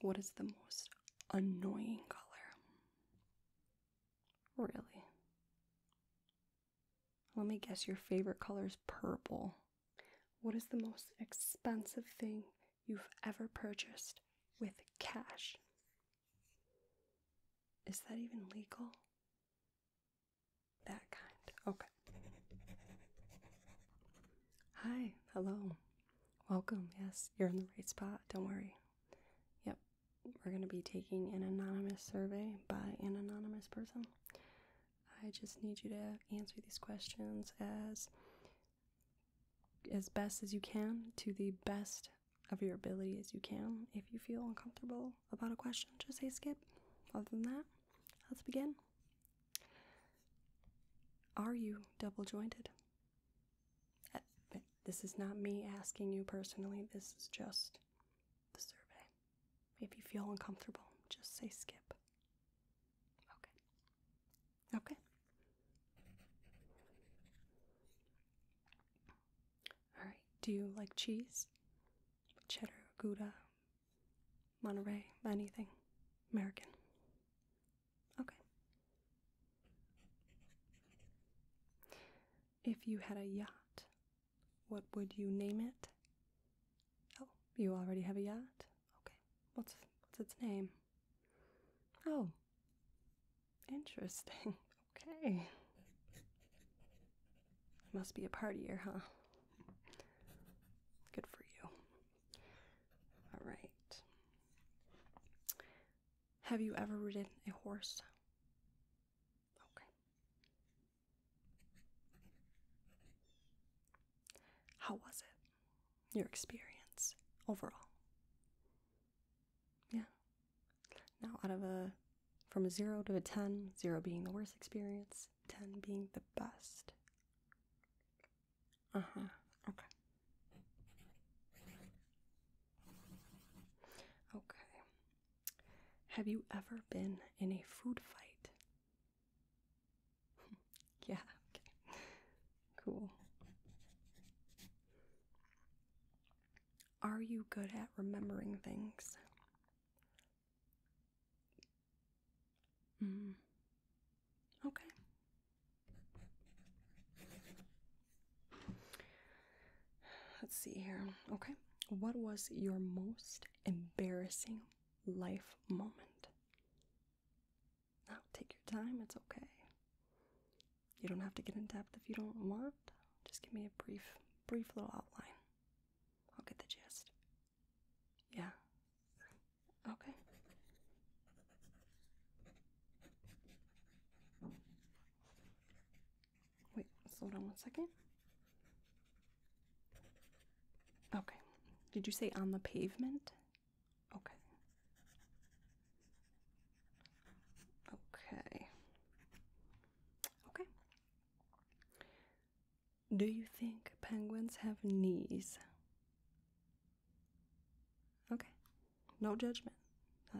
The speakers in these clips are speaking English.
What is the most annoying color? Really? Let me guess your favorite color is purple. What is the most expensive thing you've ever purchased with cash? Is that even legal? That kind. Okay. Hi, hello. Welcome. Yes, you're in the right spot. Don't worry. Yep. We're going to be taking an anonymous survey by an anonymous person. I just need you to answer these questions as as best as you can to the best of your ability as you can. If you feel uncomfortable about a question, just say skip. Other than that, let's begin. Are you double jointed? Uh, this is not me asking you personally, this is just the survey. If you feel uncomfortable, just say skip. Okay. Okay. Alright, do you like cheese? Cheddar, Gouda, Monterey, anything? American. Okay. If you had a yacht, what would you name it? Oh, you already have a yacht? Okay. What's what's its name? Oh. Interesting. Okay. Must be a partyer, huh? Good for you. All right. Have you ever ridden a horse? Okay. How was it? Your experience overall? Yeah. Now, out of a from a zero to a ten, zero being the worst experience, ten being the best. Uh-huh. Okay. Okay. Have you ever been in a food fight? yeah, okay. Cool. Are you good at remembering things? Mm. Okay. Let's see here. Okay. What was your most embarrassing life moment? Now, take your time. It's okay. You don't have to get in depth if you don't want. Just give me a brief, brief little outline. I'll get the gist. Yeah. Okay. Wait, hold on one second. Okay. Did you say on the pavement? Okay. Okay. Okay. Do you think penguins have knees? Okay. No judgment.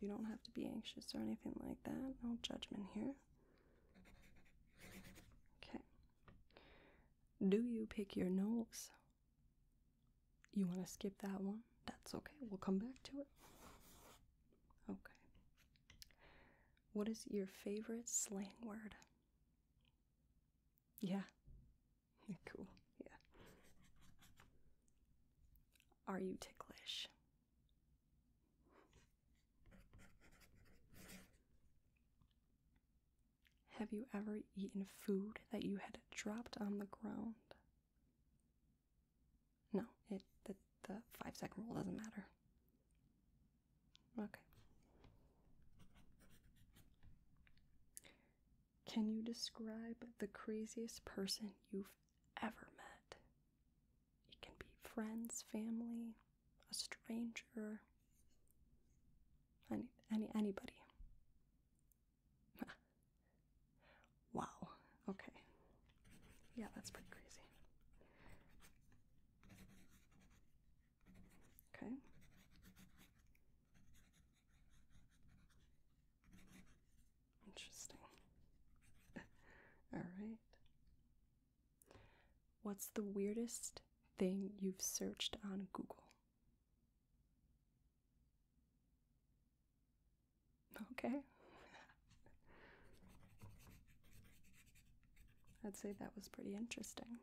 you don't have to be anxious or anything like that. No judgment here. Okay. Do you pick your nose? You want to skip that one? That's okay. We'll come back to it. Okay. What is your favorite slang word? Yeah. cool. Yeah. Are you ticklish? Have you ever eaten food that you had dropped on the ground? No, it the, five second rule doesn't matter. Okay. Can you describe the craziest person you've ever met? It can be friends, family, a stranger, any, any anybody. wow. Okay. Yeah, that's pretty crazy. Okay. Interesting. All right. What's the weirdest thing you've searched on Google? Okay. I'd say that was pretty interesting.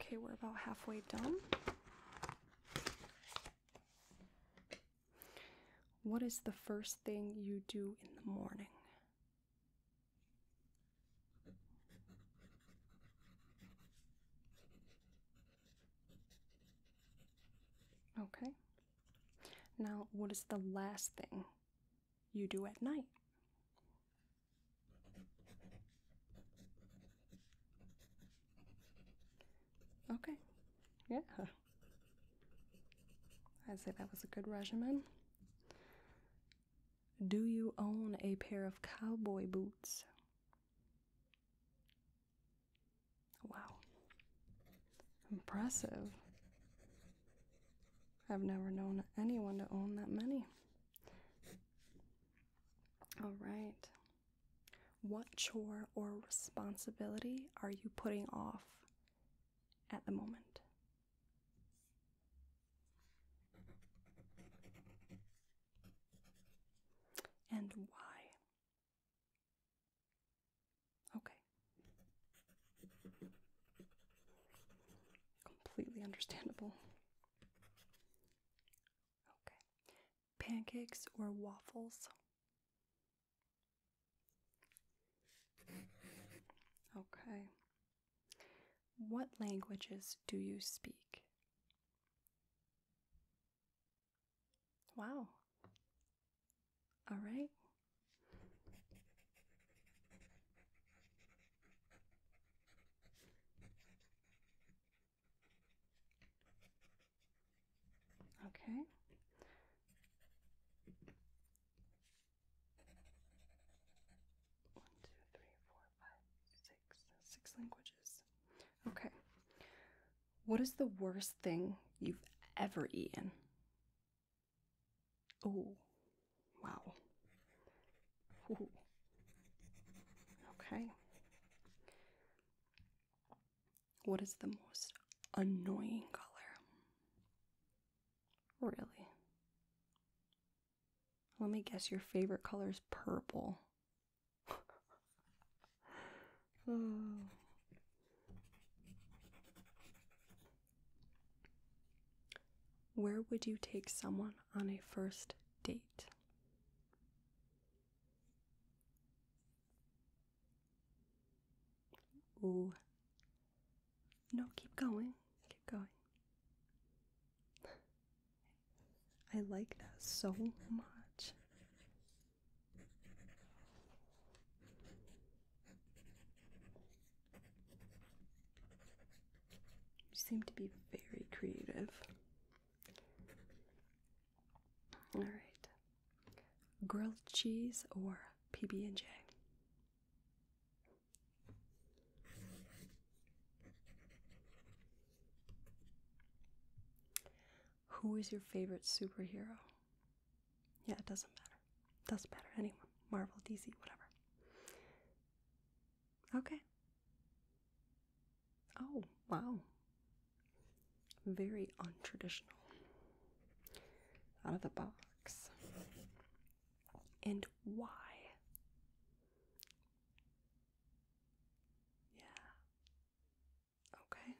Okay, we're about halfway done. What is the first thing you do in the morning? Okay. Now, what is the last thing you do at night. Okay, yeah. I'd say that was a good regimen. Do you own a pair of cowboy boots? Wow. Impressive. I've never known anyone to own that many. All right. What chore or responsibility are you putting off at the moment? And why? Okay. Completely understandable. Okay. Pancakes or waffles? Okay. What languages do you speak? Wow. All right. Okay. One, two, three, four, five, six, six languages. Okay. What is the worst thing you've ever eaten? Oh, wow. Okay. What is the most annoying color? Really? Let me guess your favorite color is purple. Oh. Where would you take someone on a first date? Ooh. No, keep going. Keep going. I like that so much. You seem to be very creative. All right. Grilled cheese or PB&J? Who is your favorite superhero? Yeah, it doesn't matter. Doesn't matter. Anyone. Marvel, DC, whatever. Okay. Oh, wow. Very untraditional. Out of the box. And why? Yeah. Okay.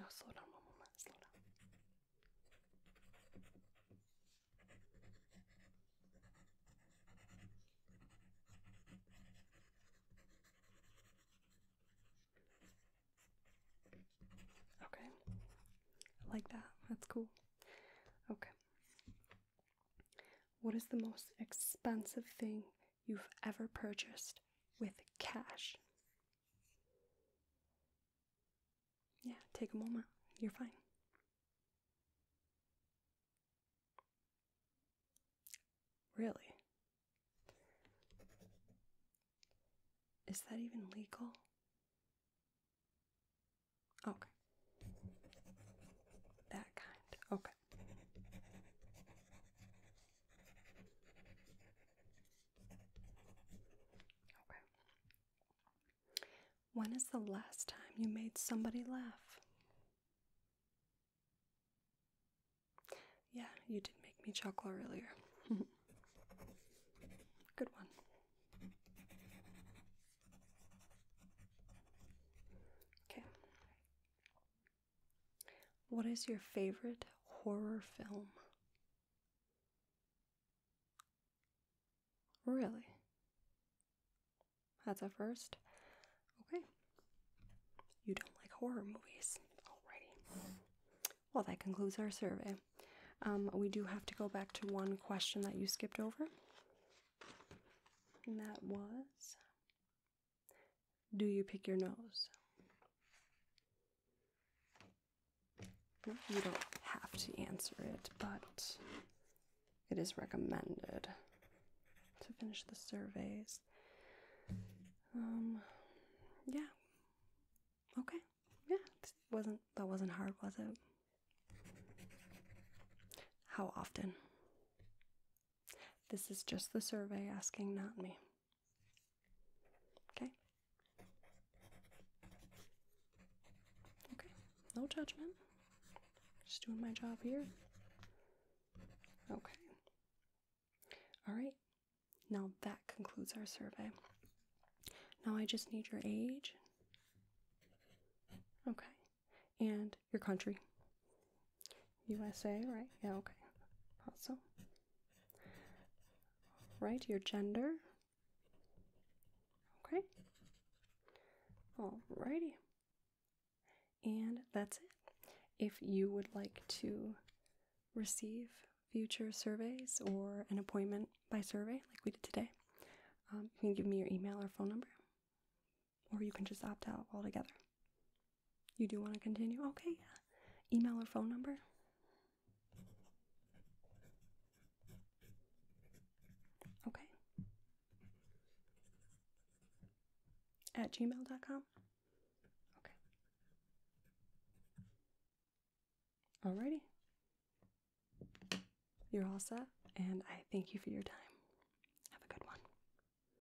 Oh, slow down one moment. Slow down. Okay. I like that. That's cool. Okay. What is the most expensive thing you've ever purchased with cash. Yeah, take a moment. You're fine. Really? Is that even legal? Okay. That kind. Okay. When is the last time you made somebody laugh? Yeah, you did make me chuckle earlier. Good one. Okay. What is your favorite horror film? Really? That's a first? Okay. You don't like horror movies. Alrighty. Well, that concludes our survey. Um, we do have to go back to one question that you skipped over. And that was do you pick your nose? you don't have to answer it, but it is recommended to finish the surveys. Um, yeah. Okay. Yeah, wasn't that wasn't hard, was it? How often? This is just the survey asking, not me. Okay? Okay, no judgment. Just doing my job here. Okay. All right. Now that concludes our survey. Now I just need your age. Okay. And your country? USA, right? Yeah, okay. Also, right, your gender. Okay. Alrighty. And that's it. If you would like to receive future surveys or an appointment by survey like we did today, um, you can give me your email or phone number or you can just opt out altogether. You do want to continue? Okay, Email or phone number? Okay. At gmail.com? Okay. Alrighty. You're all set, and I thank you for your time. Have a good one.